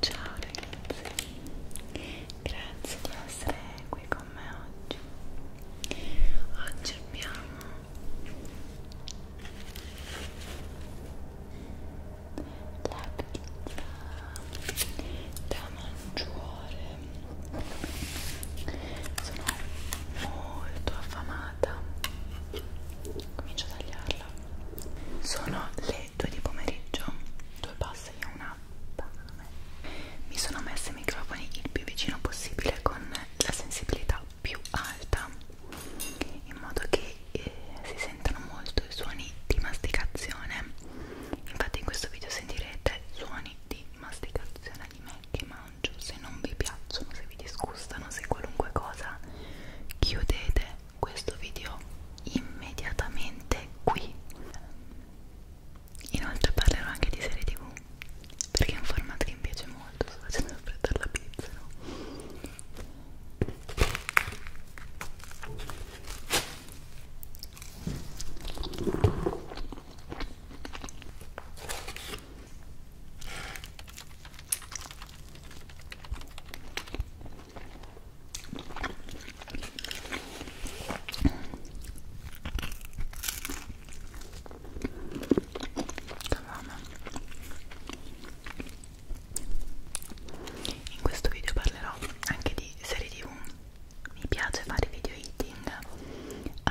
Ciao ragazzi, grazie di essere qui con me oggi. Oggi abbiamo la pizza da mangiare sono molto affamata comincio a tagliarla sono le 2 di pomeriggio due passi e una pane mi sono messa i microfoni il più vicino possibile con la sensibilità più alta in modo che eh, si sentano molto i suoni di masticazione infatti in questo video sentirete suoni di masticazione settimana di me che mangio se non vi piacciono, se vi disgustano, se qualunque cosa chiudete questo video immediatamente qui inoltre parlerò anche di serie tv perché è un formato che mi piace molto sto facendo affrettare la pizza no? In questo video parlerò anche di serie TV. Mi piace fare video eating.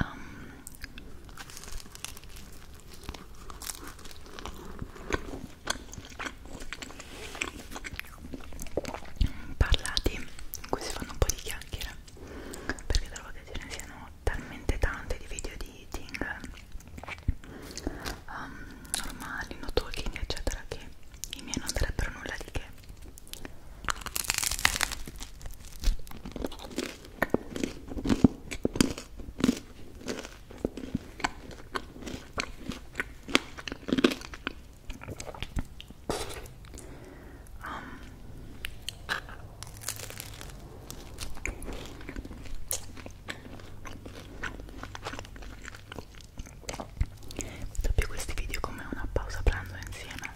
Um, parlati in cui si fanno un po' di chiacchiere perché trovo che ce ne siano talmente tante di video di eating um, normali, no talking eccetera che i miei non sarebbero nulla di che Dopo questi video come una pausa pranzo insieme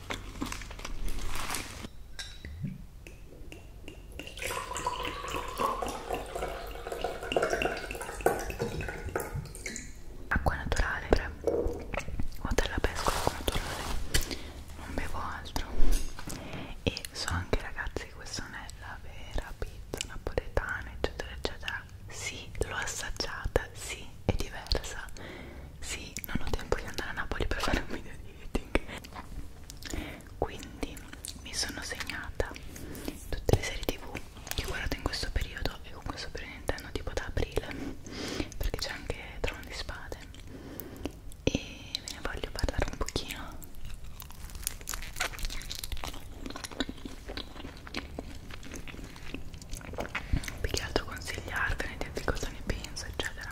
acqua naturale cioè, o della pesca acqua naturale non bevo altro e so anche ragazzi che questa non è la vera pizza napoletana eccetera eccetera sì l'ho assaggiata sì è diversa sì, non ho tempo di andare a Napoli per fare un video di eating. Quindi mi sono segnata tutte le serie tv che ho guardato in questo periodo e con questo periodo intendo tipo da aprile perché c'è anche Trono di Spade e ve ne voglio parlare un pochino più che altro consigliarvene, dirvi cosa ne penso, eccetera.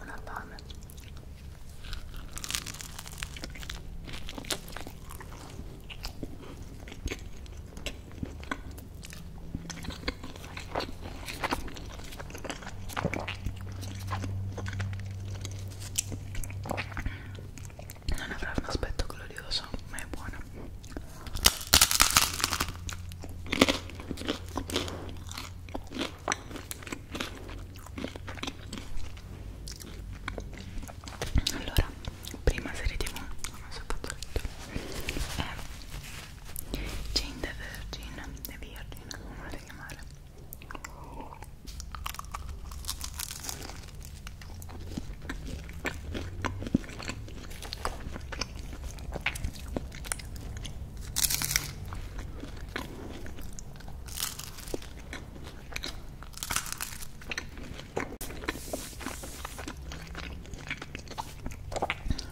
Una fame non avrà un aspetto glorioso ma è buona allora prima serie tv non so fatto letto è eh, Jane the Virgin, The Virgin, come volete chiamare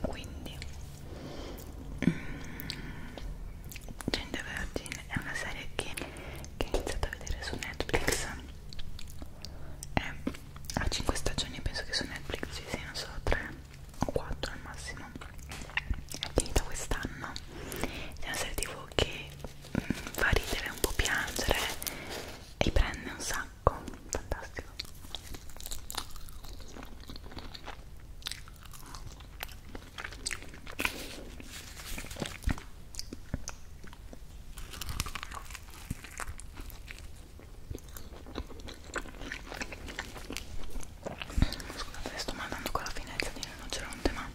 quindi Gente Vergine è una serie che, che ho iniziato a vedere su Netflix è, ha 5 stagioni penso che su Netflix ci siano solo 3 o 4 al massimo è finita quest'anno è una serie tv che mh, mm, fa ridere un po' piangere e prende un sacco fantastico Scusate, sto mandando con la finezza di rinoceronte, ma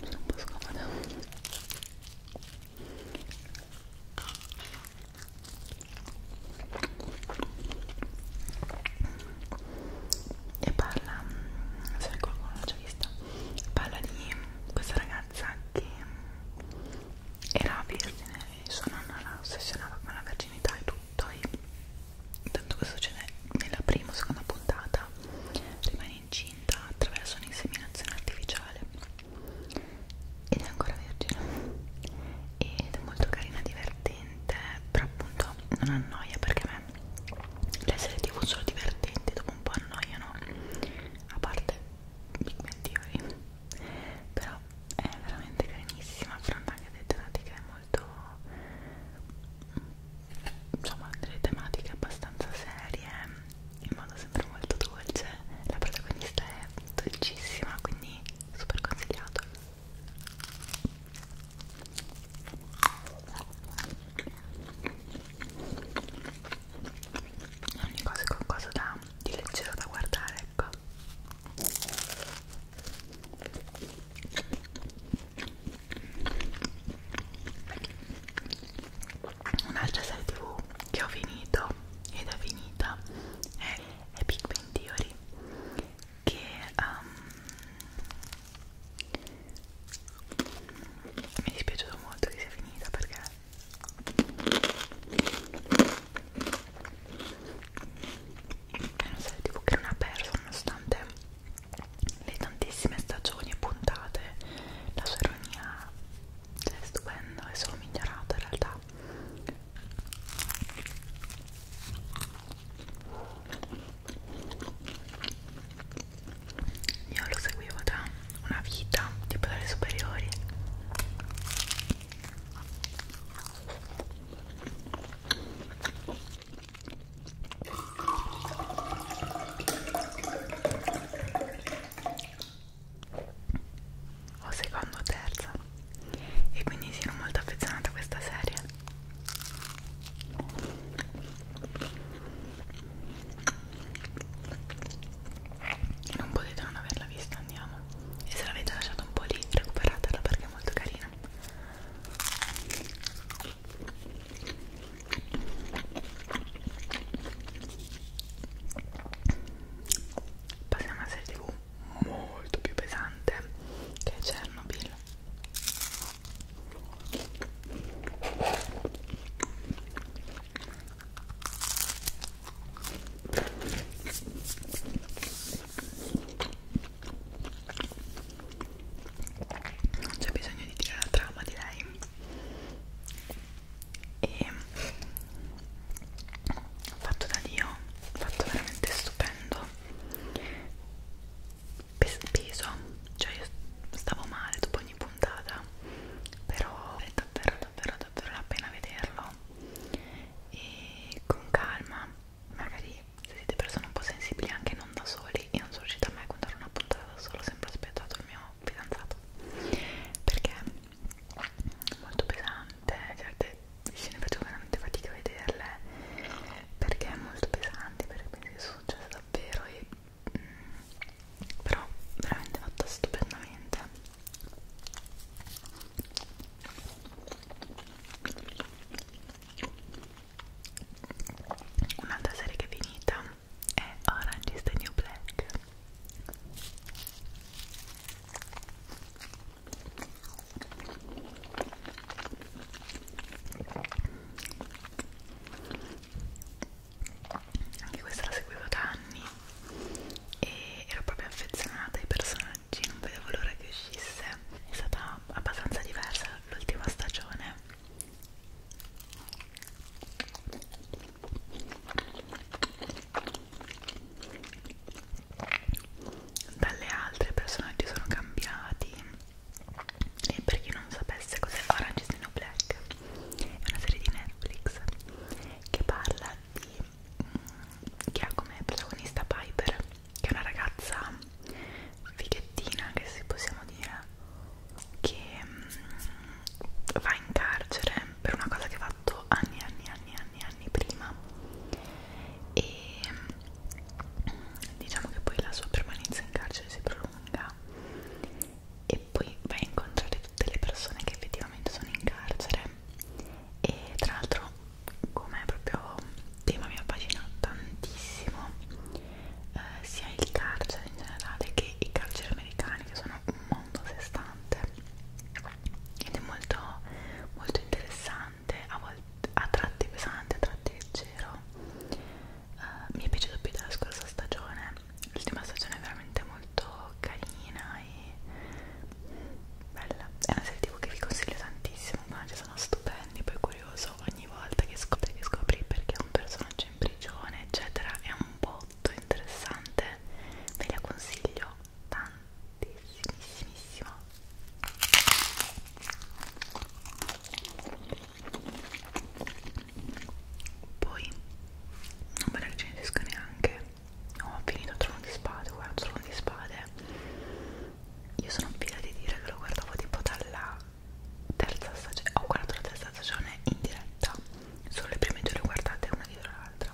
sono un po' scomoda e parla mm, se qualcuno l'ha già vista parla di questa ragazza che mm, era vergine e sua nonna la ossessionava con la verginità e tutto e tanto questo succede nella prima o seconda puntata rimane incinta attraverso un'inseminazione artificiale ed è ancora vergine ed è molto carina, divertente, però appunto non annoia perché a me le serie tv sono divertenti, dopo un po' annoiano, a parte Big Bang Theory, però è veramente carinissima, affronta anche delle tematiche molto, insomma delle tematiche abbastanza serie, in modo sempre molto dolce, la protagonista è dolcissima, quindi super consigliato ogni cosa è qualcosa da, di leggero da guardare ecco un'altra serie tv che ho finito ed è finita è, è Big Bang Theory che um, mi è dispiaciuto molto che sia finita perché è una serie tv che non ha perso nonostante le tantissime stagioni e puntate la sua ironia cioè, è stupenda è solo migliorato in realtà io lo seguivo da una vita, tipo dalle superiori. O seconda o terza e quindi sono molto affezionata a questa serie e non potete non averla vista andiamo e se l'avete lasciata un po' lì recuperatela perché è molto carina Passiamo a serie tv molto più pesante che Chernobyl non c'è bisogno di dire la trama di lei e fatto da Dio fatto veramente stupendo peso cioè io stavo male dopo ogni puntata però è davvero davvero davvero la pena vederlo e con calma magari se siete persone un po' sensibili anche non da soli io non sono riuscita mai a contare una puntata da solo ho sempre aspettato il mio fidanzato perché è molto pesante certe scene faccio veramente fatica a vederle perché è molto pesante perché penso che sia successo davvero e mh, mm, però veramente fatta stupendamente un'altra serie che è finita è Orange is the New Black anche questa la seguivo da anni e ero proprio affezionata ai personaggi non vedevo l'ora che uscisse è stata abbastanza diversa l'ultima stagione dalle altre i personaggi sono cambiati e per chi non sapesse cos'è Orange is the New Black è una serie di Netflix che parla di mh, mm, che ha come protagonista Piper che è una ragazza fighettina che si possiamo dire che mh, mm, va in carcere per una cosa che ha fatto anni anni anni anni anni prima e mm, diciamo che poi la sua permanenza in carcere si prolunga e poi vai a incontrare tutte le persone che effettivamente sono in carcere e tra l'altro come proprio tema mi affascina tantissimo eh, sia il carcere in generale che i carceri americani che sono un mondo a sé stante ed è molto, molto interessante pesante, a, volte, a tratti pesante, a tratti leggero. Uh, mi è piaciuto più della scorsa stagione. L'ultima stagione è veramente molto carina e bella. È una serie TV che vi consiglio tantissimo, ma ci sono stupendi, poi curioso ogni volta che scopri, che scopri perché un personaggio in prigione, eccetera, è un botto interessante. Ve la consiglio tantissimissimo. Poi non me la recensisco neanche. Oh, ho finito il trono di spade, guardo il trono di spade. Io sono fiera di dire che lo guardavo tipo dalla terza stagione. Ho guardato la terza stagione in diretta. Solo le prime due le guardate una dietro l'altra.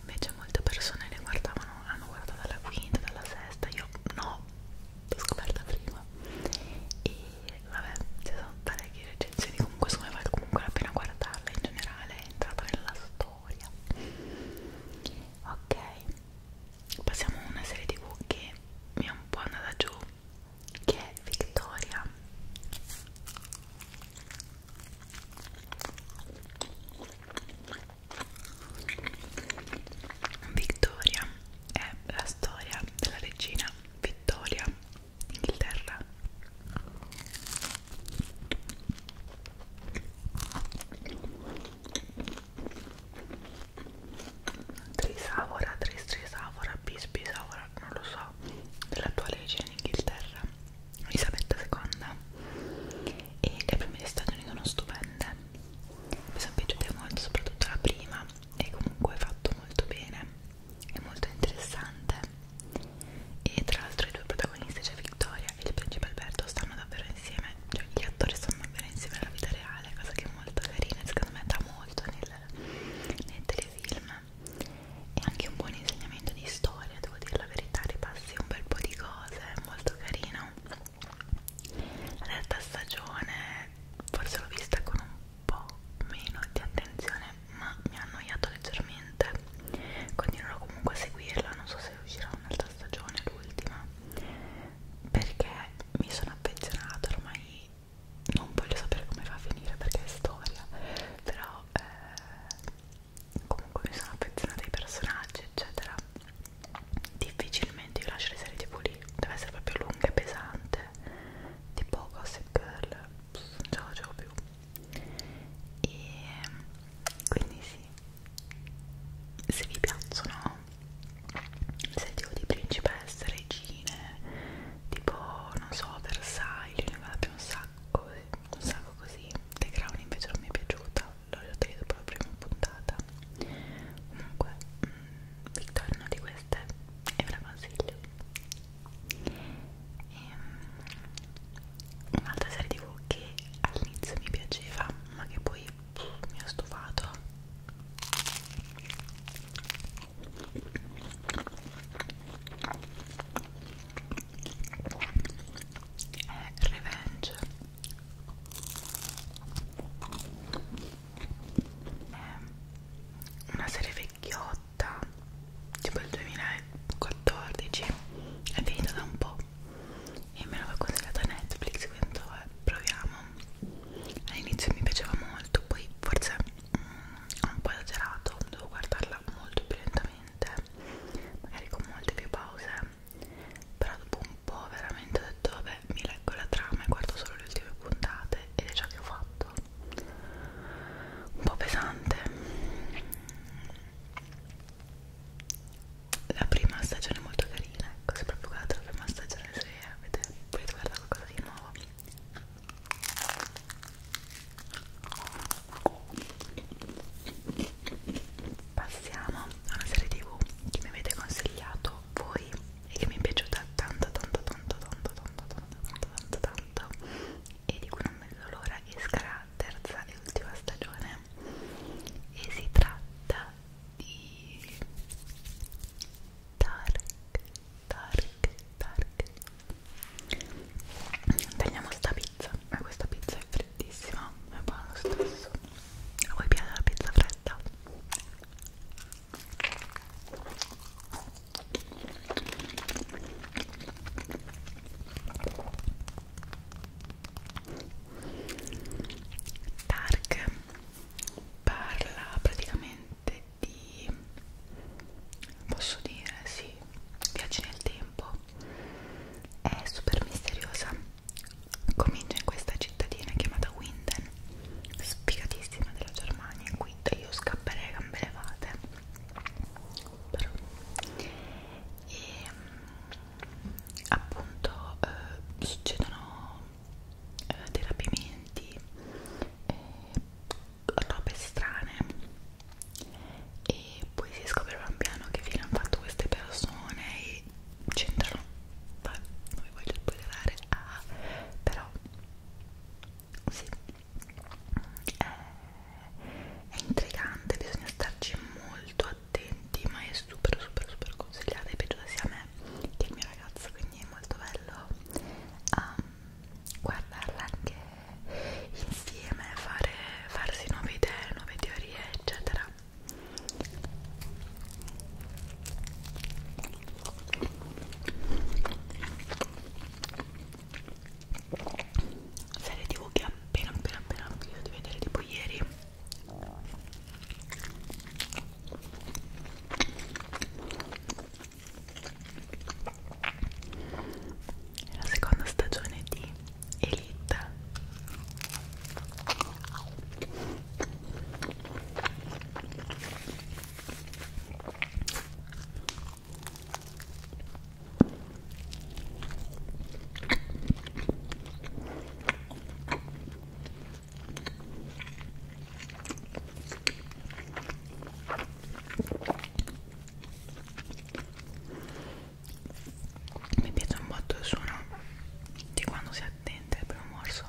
Invece molte persone le guardavano, hanno guardato dalla quinta, dalla sesta. Io no, l'ho scoperta prima e vabbè ci sono parecchie recensioni comunque secondo me vale comunque la pena guardarla in generale è entrata nella storia ok passiamo a una serie tv che mi è un po' andata giù che è Victoria Vittoria è la storia della regina Vittoria d'Inghilterra. Trisavora, tris trisavora, bis bisavora, non lo so, dell'attuale regina in Inghilterra, Elisabetta II. E le prime di Stati Uniti sono stupende mi sono piaciute molto soprattutto la prima e comunque è fatto molto bene è molto interessante e tra l'altro i due protagonisti cioè Victoria e il principe Alberto stanno davvero insieme cioè gli attori stanno davvero insieme alla vita reale cosa che è molto carina e secondo me dà molto nel, nel telefilm e anche un buon insegnamento di storia devo dire la verità ripassi un bel po' di cose è molto carino la terza stagione forse l'ho vista con un po' meno di attenzione ma mi ha annoiato leggermente continuerò comunque a seguirla non so se uscirà un'altra stagione l'ultima perché mi sono affezionata ormai non voglio sapere come va a finire perché è storia però eh, comunque mi sono affezionata ai personaggi eccetera difficilmente io lascio le serie tv lì deve essere proprio lunga e pesante tipo Gossip Girl Pss, non ce la facevo più e quindi sì se vi piacciono se tipo di principesse, regine tipo non so Versailles ne guarda più un sacco un sacco così The Crown invece non mi è piaciuta l'ho utilizzato per la prima puntata comunque Victor mm, è una di queste e ve la consiglio e, ehm, un'altra serie tv che all'inizio mi piaceva ma che poi pff, mi ha stufato è Revenge è una serie vecchiotta tipo il 2014 è finita da un po' e me l'aveva consigliata Netflix quindi eh, proviamo all'inizio mi piaceva molto poi forse mh, mm, un po' esagerato devo guardarla molto più lentamente magari con molte più pause però dopo un po' veramente ho detto vabbè mi leggo la trama e guardo solo le ultime puntate ed è ciò che ho fatto un po' pesante la prima stagione è molto carina ecco se proprio guardate la prima stagione se avete, volete guardare qualcosa di nuovo Passiamo a una serie tv che mi avete consigliato piaciuto voi e che mi è piaciuta tanto tanto tanto tanto tanto tanto tanto tanto tanto e di cui non vedo l'ora che esca la terza e ultima stagione e si tratta di Dark Dark Dark tagliamo sta pizza ma questa pizza è freddissima è buona lo stesso a voi piace la pizza fredda? Dark parla praticamente di posso dire sì viaggi nel tempo è super misteriosa comincia in questa cittadina chiamata Winden, sfigatissima della Germania, in cui io scapperei a gambe levate però e ehm, appunto eh, succedono eh, dei rapimenti eh, robe strane e poi si scopre pian piano che fine hanno fatto queste persone e che c'entrano vabbè non vi voglio spoilerare ah, però sì è, eh, è intrigante bisogna starci molto attenti ma è super super super consigliata è piaciuta sia a me che al mio ragazzo quindi è molto bello um, guardarla anche insieme fare, farsi nuove idee nuove teorie eccetera serie tv che appena appena appena ho finito di vedere tipo ieri la seconda stagione di Elite mi piace un botto il suono di quando si attenta al primo morso.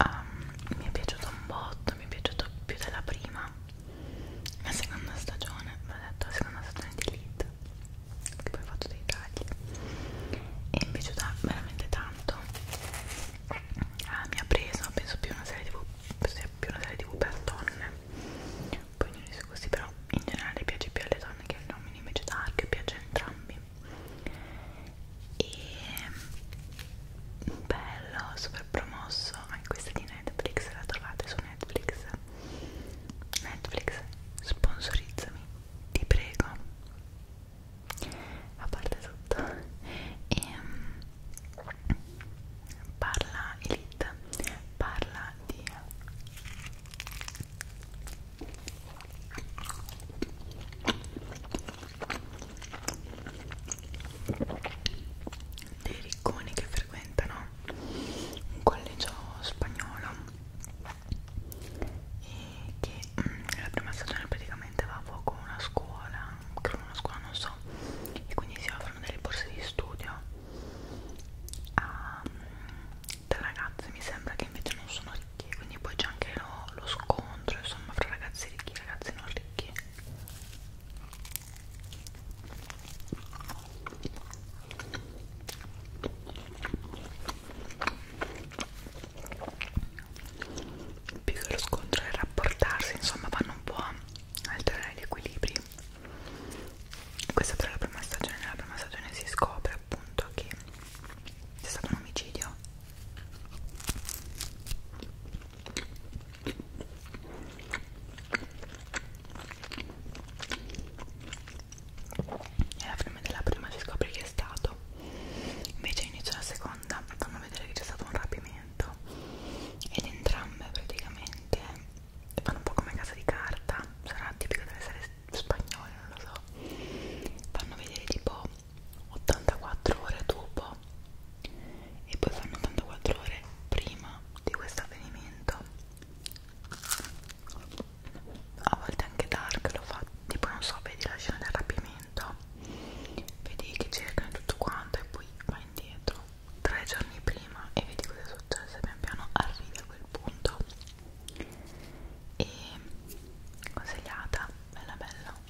um, mi è piaciuto un botto mi è piaciuto più della prima la seconda stagione l'ho detto la seconda stagione di Elite che poi ho fatto dei tagli e mi è piaciuta veramente tanto ah, mi ha preso penso più una serie tv più una serie tv per donne poi non è così però in generale piace più alle donne che agli uomini invece da che piace a entrambi e mm, bello, super promosso anche questa di Netflix, la trovate su Netflix Netflix, sponsorizzami, ti prego a parte tutto e um, parla Elite parla di dei ricconi che frequentano un collegio spagnolo e che nella mm, prima stagione praticamente va a fuoco una scuola, credo una scuola non so, e quindi si offrono delle borse di studio a, da mm, ragazze mi sembra che invece non sono ricchi quindi poi c'è anche lo, lo scontro insomma fra ragazzi ricchi e ragazzi non ricchi più che lo scontro è rapportarsi insomma vanno un po' a alterare gli equilibri questa però è la prima stagione nella prima stagione si scopre appunto che c'è stato un omicidio nella prima della prima si scopre chi è stato, invece inizio la seconda, fanno vedere che c'è stato un rapimento ed entrambe praticamente fanno un po' come casa di carta, sarà tipico delle serie spagnole, non lo so, fanno vedere tipo 84 ore dopo e poi fanno 84 ore prima di questo avvenimento a volte anche Dark lo fa tipo non so vedi la scena del rapimento vedi che cercano tutto quanto e poi va indietro tre giorni prima e vedi cosa è successo e pian piano arrivi a quel punto e consigliata bella bella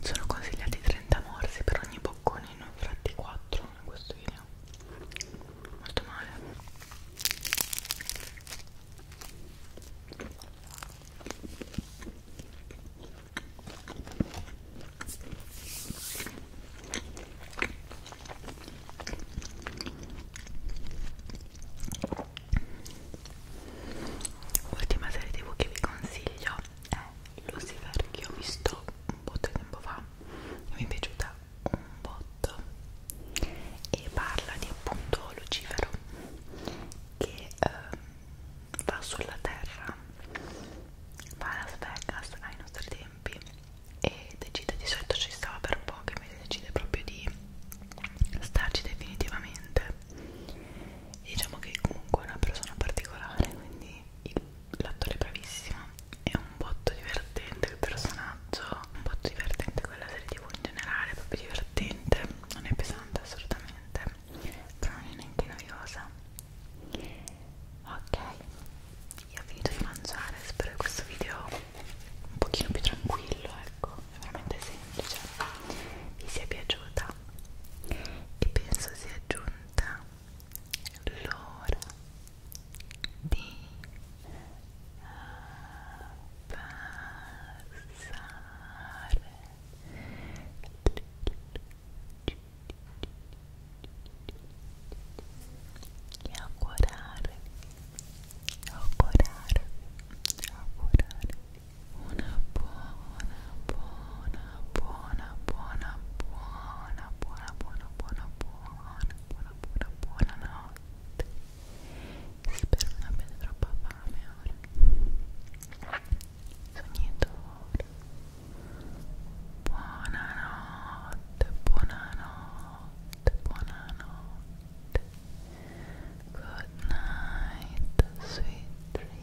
sono consigliati 30 morsi per ogni boccone ne ho fatti 4 in questo video molto male Ultima serie tv che vi consiglio è eh, Lucifer che ho visto un po' di tempo fa e mi è piaciuta un botto e parla di appunto Lucifero che eh, va sulla terra va a Las Vegas ai nostri tempi e decide di solito ci stava per un po' che invece decide proprio di starci definitivamente e diciamo che comunque è una persona particolare quindi l'attore bravissimo è un botto divertente il personaggio un botto divertente quella serie tv in generale proprio divertente non è pesante assolutamente però non è neanche noiosa ok io ho finito di mangiare spero che questo video un pochino più tranquillo ecco è veramente semplice vi sia piaciuta e penso sia giunta l'ora di passare e augurare augurare augurare una uh, buona buona, buona, buona, buona, buona, buona, buona, buona, buona, buona, buona notte. Spero non abbiate troppa fame ora. Sognatore. Buonanotte, buonanotte, buonanotte. Good night, sweet dreams.